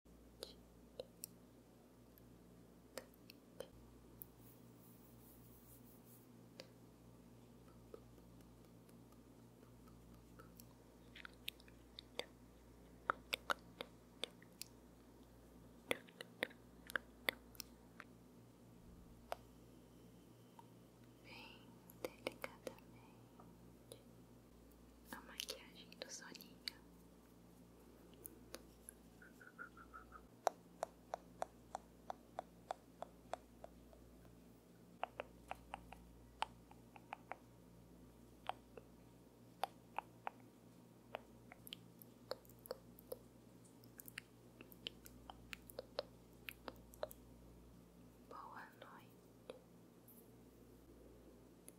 Bem delicadamente a maquiagem do Soninha. Boa noite.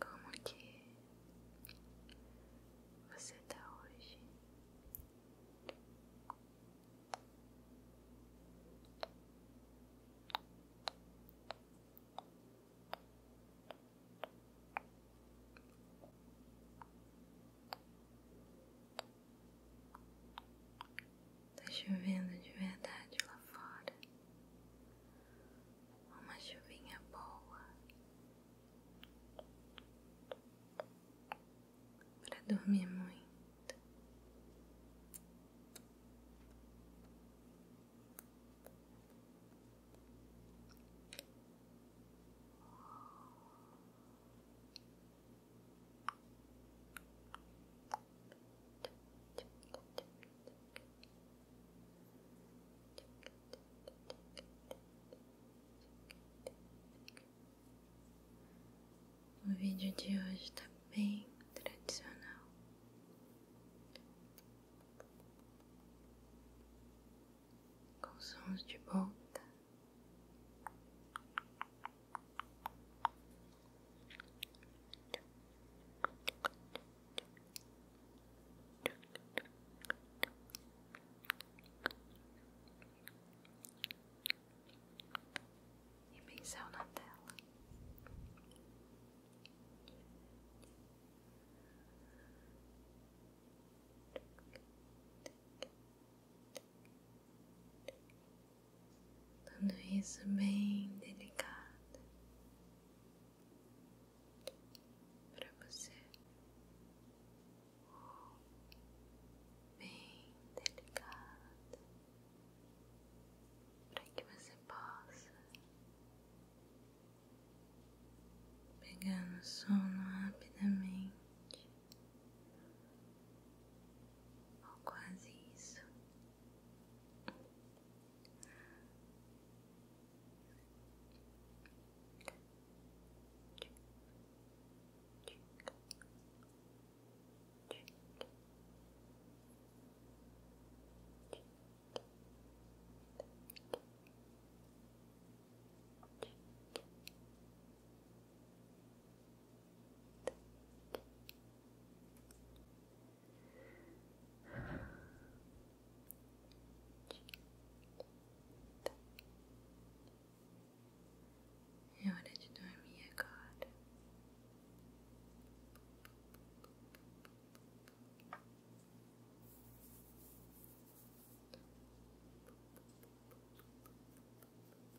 Como que você está hoje? Tá chovendo de verdade lá fora. Uma chuvinha boa para dormir muito. O vídeo de hoje está bem tradicional. Com sons de volta e pincel na tela. Tudo isso bem delicado para você, bem delicado para que você possa pegar no sono rapidamente quase isso. É hora de dormir agora. Relaxa.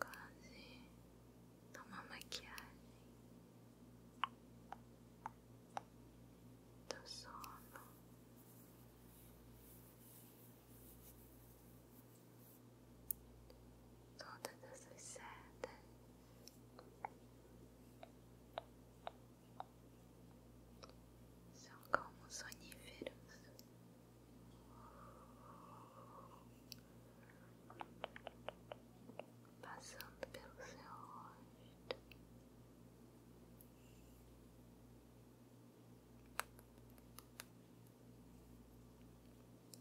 Quase uma maquiagem do sono. Todas essas setas são como soníferos. Passando pelo seu rosto,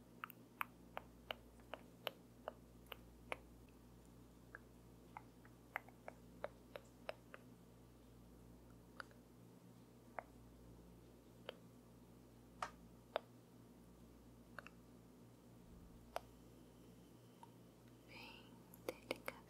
Bem delicadamente.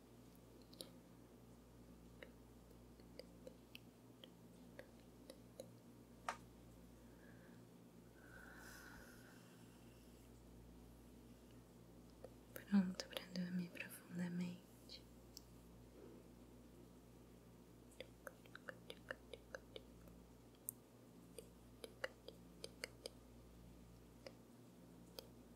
Pronto para dormir profundamente.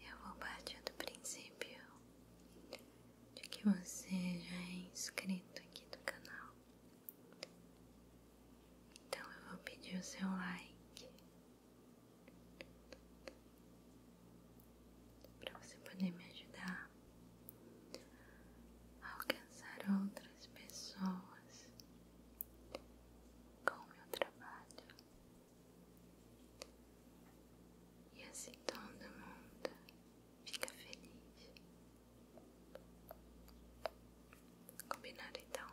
Eu vou partir do princípio de que você já é inscrito aqui do canal então eu vou pedir o seu like para você poder me ajudar a alcançar outras pessoas com o meu trabalho e assim todo mundo fica feliz. Combinado então?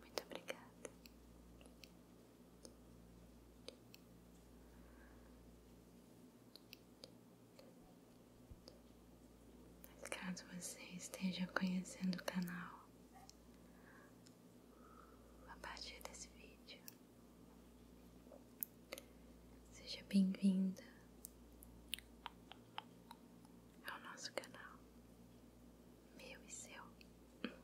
Muito obrigada. caso você esteja conhecendo o canal a partir desse vídeo, Seja bem-vinda ao nosso canal, meu e seu. Fica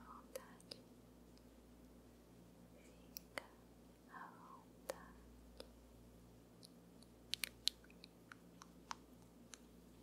à vontade, fica à vontade.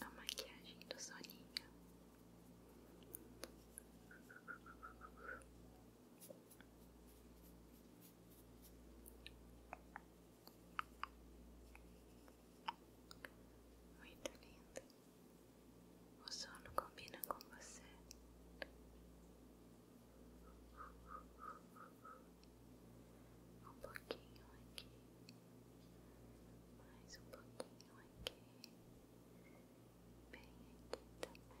A maquiagem do Soninha, Muito linda. O sono combina com você. Um pouquinho aqui, mais um pouquinho aqui, bem aqui também.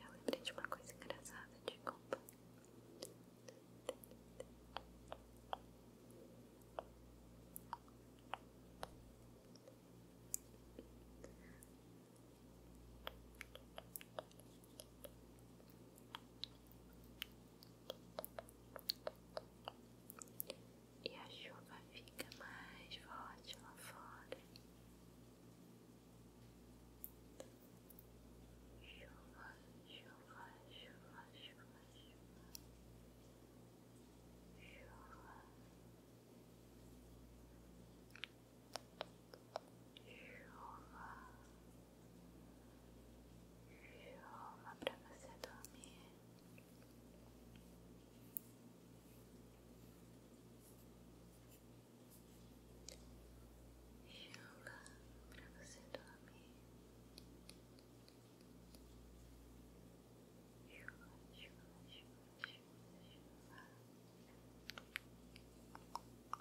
ela lembrei de uma coisa engraçada de compra. E a chuva fica mais forte lá fora. Chuva, chuva, chuva, chuva, chuva. Chuva. Chuva, chuva para você dormir. Chuva para você dormir. Chuva, chuva, chuva, chuva,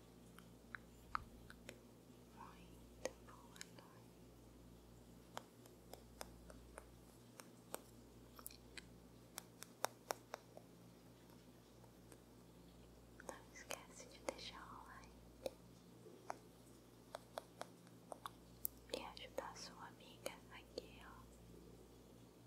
Muito boa noite. Não esquece de deixar o like e ajudar a sua amiga aqui, ó.